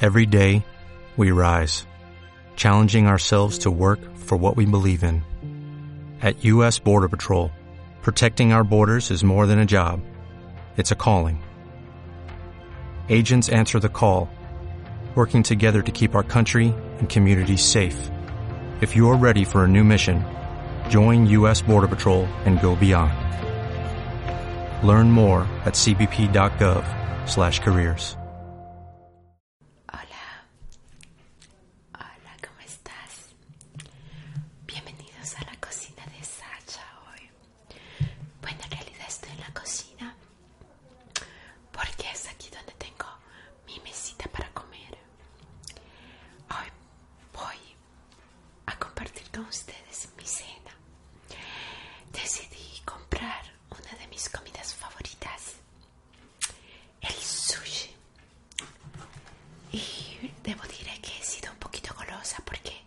Every day, we rise, challenging ourselves to work for what we believe in. At U.S. Border Patrol, protecting our borders is more than a job, it's a calling. Agents answer the call, working together to keep our country and communities safe. If you're ready for a new mission, join U.S. Border Patrol and go beyond. Learn more at cbp.gov/careers. Hola. Hola, ¿cómo estás? Bienvenidos a la cocina de Sacha hoy. Bueno, en realidad estoy en la cocina porque es aquí donde tengo mi mesita para comer. Hoy voy a compartir con ustedes mi cena. Decidí comprar una de mis comidas favoritas, el sushi. Y debo decir que he sido un poquito golosa porque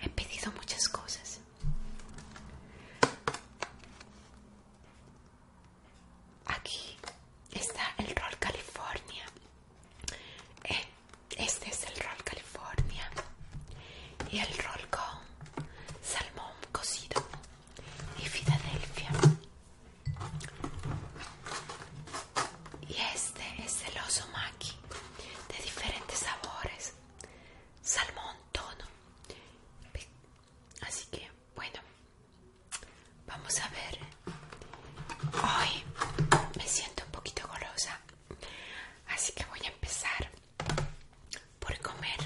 he pedido muchas cosas. Aquí está el rol California. Este es el rol California y el rol con salmón cocido y Filadelfia. Y este es el oso maki de diferentes sabores, salmón tono. Así que, bueno, vamos a ver. Hoy me siento un poquito golosa Así que voy a empezar por comer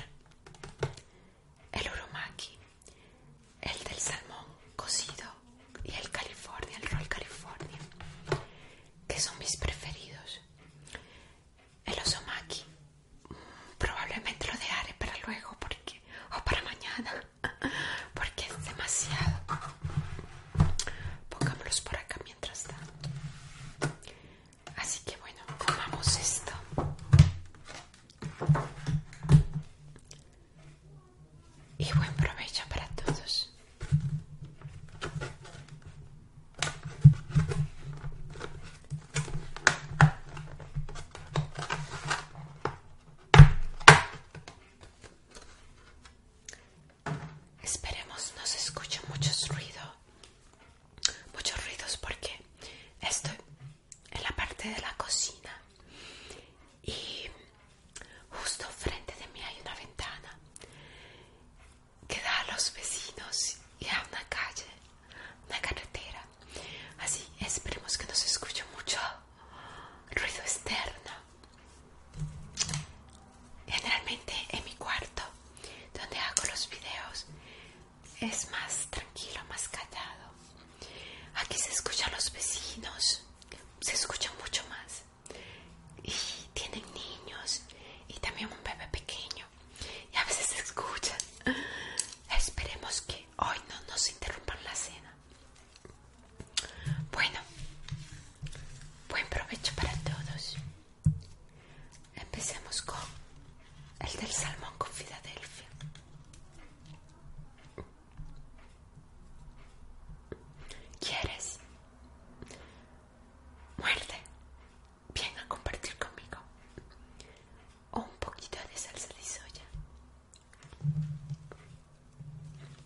el urumaki, el del salmón cocido y el California, el roll California, que son mis preferidos. El osomaki mm, probablemente lo dejaré para luego porque o para mañana porque es demasiado Pongámoslos por acá mientras tanto. Así que bueno, Tomamos esto. Y buen provecho para todos. Esperemos no se escuchen muchos ruidos, muchos ruidos porque estoy en la parte de la cocina y justo frente de mí hay una ventana que da a los vecinos y a una calle, una carretera. Así esperemos que no se escuche mucho ruido externo. Generalmente en mi cuarto, donde hago los videos, es más tranquilo, más callado. Aquí se escuchan los vecinos, se escuchan mucho más. Y tienen niños y también un bebé pequeño. Y a veces se escuchan. Esperemos que hoy no nos interrumpan la cena. Bueno, buen provecho para todos. Empecemos con el del salmón con Filadelfia. ¿Quieres? Muerte. Ven a compartir conmigo. un poquito de salsa de soya.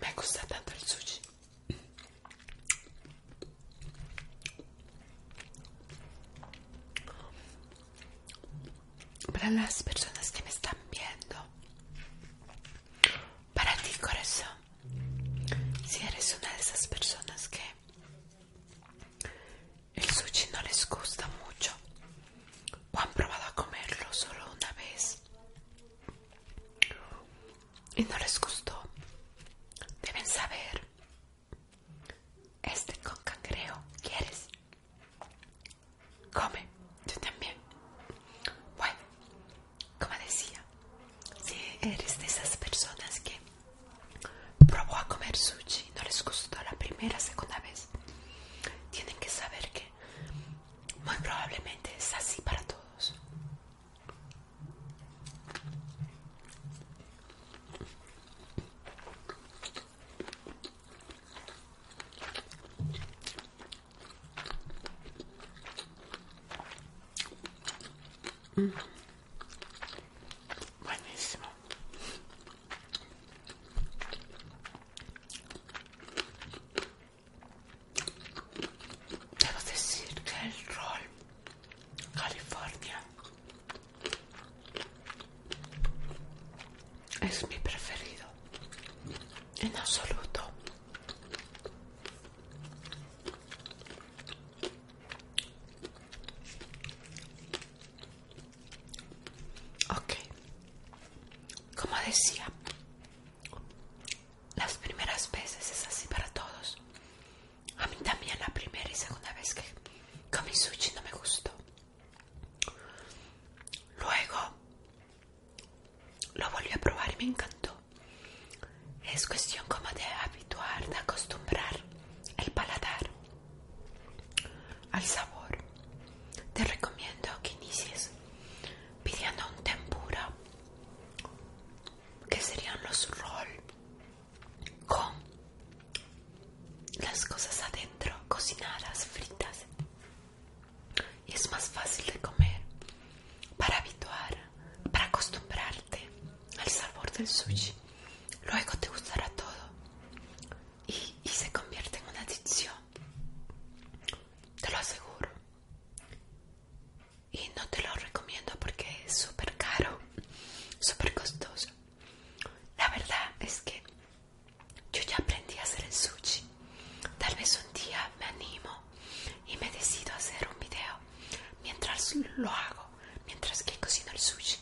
Me gusta tanto el sushi. Para las personas que me están viendo, para ti corazón, si eres una de esas personas que el sushi no les gusta mucho. O han probado a comerlo solo una vez. Y no les gustó. Deben saber. Este con cangrejo ¿Quieres? Come. Yo también. Bueno, como decía, si eres de esas personas que probó a comer sushi y no les gustó la primera, segunda vez, tienen que saber que muy probablemente es así para todos. Mm. Buenísimo. Debo decir que el rol California es mi preferido en absoluto. Ok. Como decía, las primeras veces es así para todos. A mí también la primera y segunda vez que comí sushi no me gustó. Luego lo volví a probar y me encantó. Es cuestión como de habituar, de acostumbrar el paladar al sabor. Te recomiendo que inicies pidiendo un tempura, que serían los roll con las cosas adentro, cocinadas, fritas. Y es más fácil de comer para habituar, para acostumbrarte al sabor del sushi. Luego te gustará todo y, se convierte en una adicción. Te lo aseguro. Y no te lo recomiendo porque es súper caro, súper costoso. La verdad es que yo ya aprendí a hacer el sushi. Tal vez un día me animo y me decido hacer un video mientras lo hago, mientras que cocino el sushi.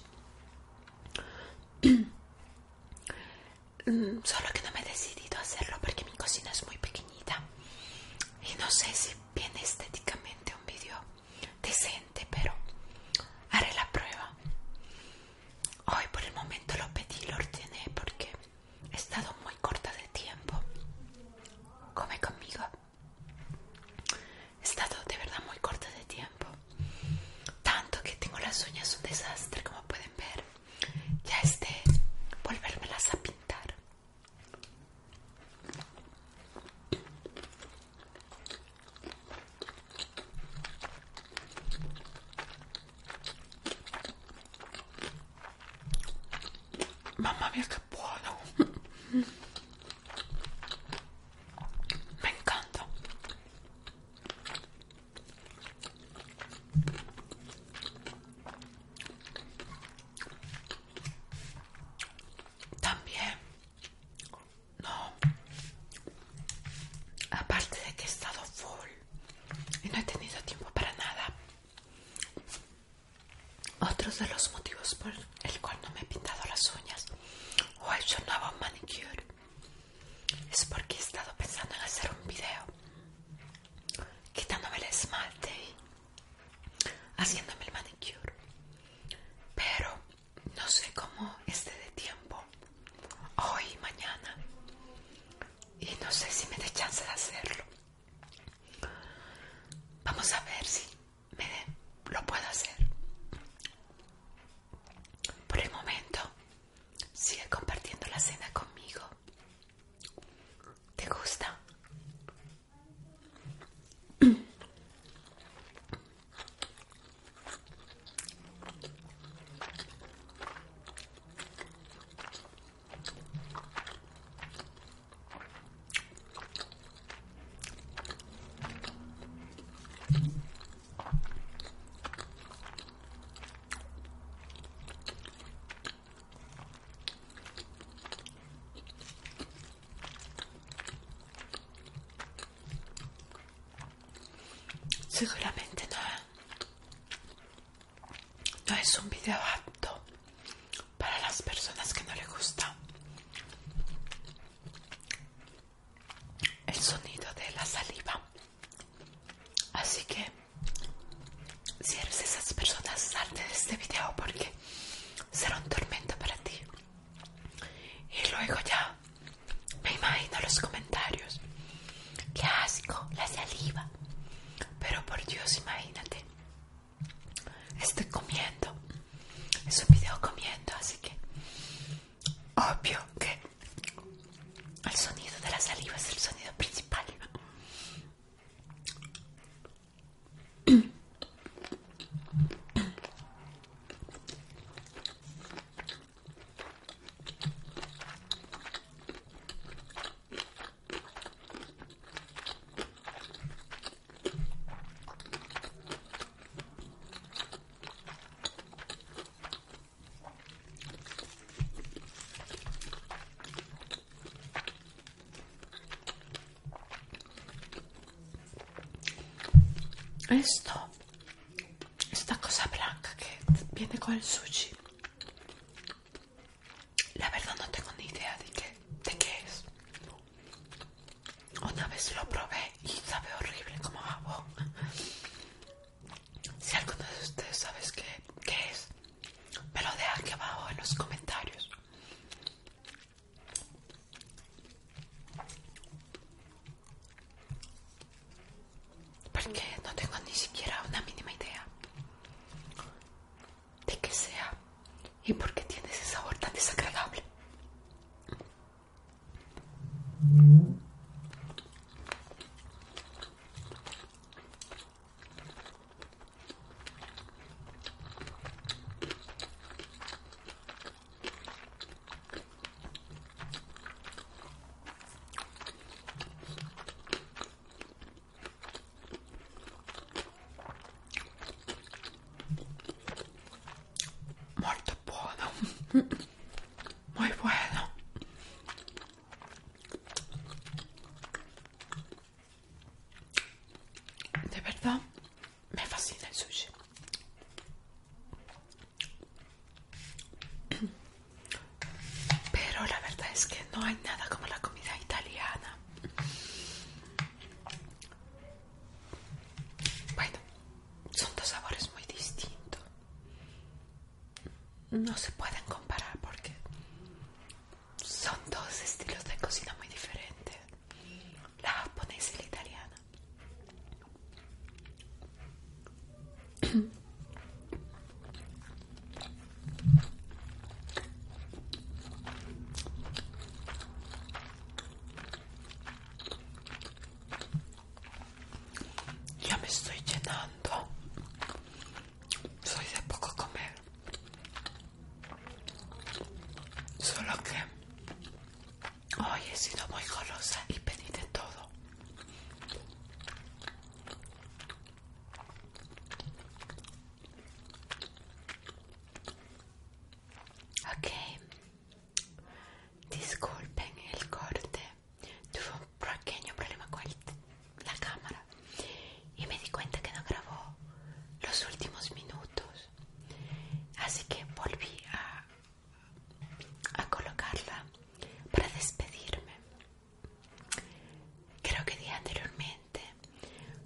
Mm, solo que no me he decidido a hacerlo porque mi cocina es muy pequeñita. Y no sé si viene estéticamente un vídeo decente, pero haré la prueba. Hoy por el momento lo pedí, lo ordené porque he estado muy corta de tiempo. Come conmigo. He estado de verdad muy corta de tiempo. Tanto que tengo las uñas un desastre, como pueden ver. Ya es de volvérmelas a pintar. Mamma mia, qué puedo. Me encanta. También, no, aparte de que he estado full y no he tenido tiempo para nada, otros de los motivos por el cual no me he pintado las uñas o he hecho un nuevo manicure es porque he estado pensando en hacer un video quitándome el esmalte y haciéndome el manicure pero no sé cómo esté de tiempo hoy y mañana y no sé si me dé chance de hacerlo vamos a ver si me lo puedo hacer. Por el momento, sigue compartiendo la cena conmigo. ¿Te gusta? Seguramente no, ¿eh? no es un video apto para las personas que no le gusta el sonido de la saliva. Así que si eres esas personas, salte de este video porque será un tormento para ti. Y luego ya me imagino los comentarios. ¡Qué asco! La saliva. Pero por Dios, imagínate estoy comiendo. Es un video comiendo, así que obvio que el sonido de la saliva es el sonido principal. Esto, esta cosa blanca que viene con el sushi, la verdad no tengo ni idea de qué, de qué es. Una vez lo probé y sabe horrible como jabón. Si alguno de ustedes sabes que qué es, me lo deja aquí abajo en los comentarios. Porque no tengo ni siquiera una mínima idea de qué sea y por qué tiene ese sabor tan desagradable. Molto buono, muy bueno. De verdad, me fascina el sushi. Pero la verdad es que no hay nada como la comida italiana. Bueno, son dos sabores muy distintos. No se pueden comparar porque son dos estilos de cocina muy diferentes. La japonesa y la italiana. Ya me estoy llenando. Soy de poco comer. Solo que hoy he sido muy golosa y pedí de todo. Ok, disculpen el corte. Tuve un pequeño problema con la cámara y me di cuenta que no grabó los últimos minutos. Así que volví a, colocarla para despedirme. Creo que di anteriormente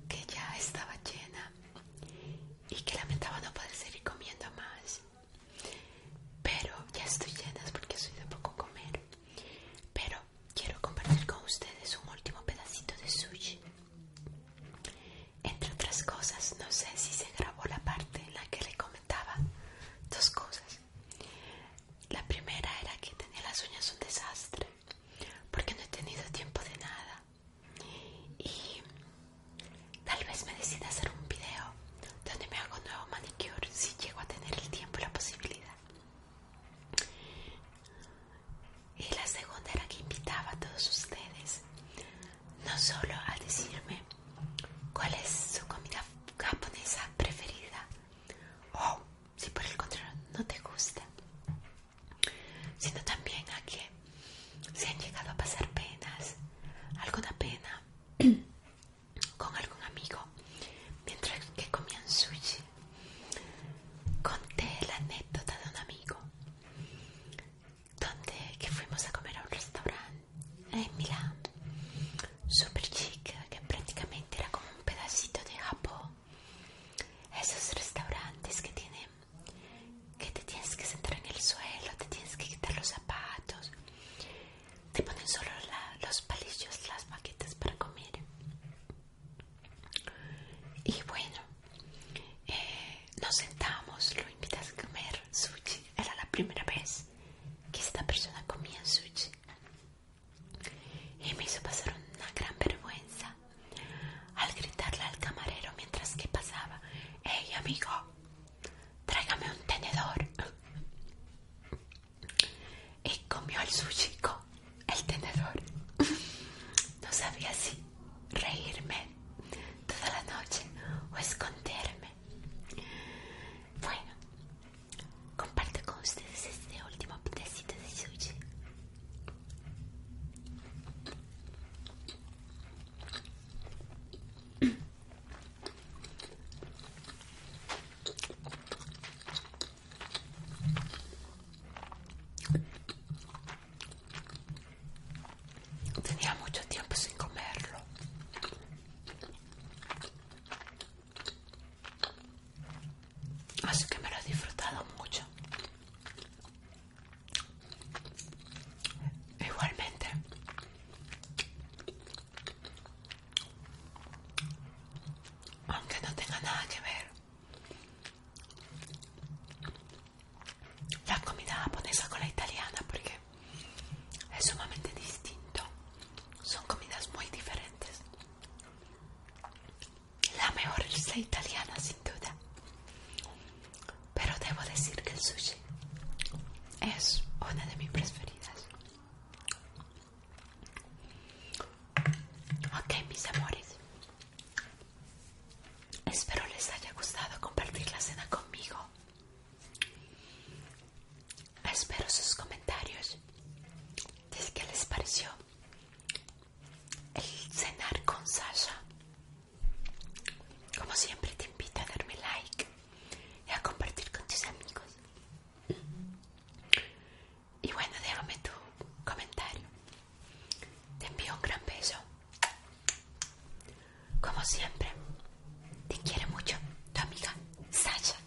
que ya estaba llena y que lamentaba no poder seguir comiendo más. Pero ya estoy llena porque soy de poco comer. Pero quiero compartir con ustedes un último pedacito de sushi. Entre otras cosas, no sé si se grabó la parte en la que le comentaba dos cosas. La primera era que tenía las uñas un desastre porque no he tenido tiempo de nada y tal vez me decida hacer un video donde me hago nuevo manicure si llego a tener el tiempo y la posibilidad y la segunda era que invitaba a todos ustedes no solo a decirme cuál es su comida japonesa preferida o si por el contrario no te gusta sino también a que se han llegado a pasar penas, alguna pena con algún amigo, mientras que comían sushi. Conté la anécdota de un amigo, donde que fuimos a comer a un restaurante en Milán, super chic, que prácticamente era como un pedacito de Japón esos restaurantes que tienen que te tienes que sentar en el suelo, te tienes que quitar los zapatos, te ponen solo los palillos, las maquetas para comer. Y bueno, eh, nos sentamos, lo invitas a comer sushi. Era la primera vez que esta persona comía sushi y me hizo pasar una gran vergüenza al gritarle al camarero mientras que pasaba, hey amigo, tráigame un tenedor. Y comió el sushi el tenedor. No sabía si reírme toda la noche o esconderme. Bueno, comparto con ustedes este último pedacito de sushi. Tenía mucho tiempo sin comerlo. Así que me lo he disfrutado mucho. Igualmente. Aunque no tenga nada que ver. La comida japonesa con la italiana porque es sumamente distinto. Son comidas muy diferentes. La mejor receta italiana sin duda. Pero debo decir que el sushi es una de mis preferidas. Ok, mis amores. Espero les haya gustado compartir la cena conmigo. Espero sus comentarios. ¿Qué les pareció el cenar con Sasha. Como siempre te invito a darme like y a compartir con tus amigos. Y bueno, déjame tu comentario. Te envío un gran beso. Como siempre, te quiere mucho tu amiga Sasha.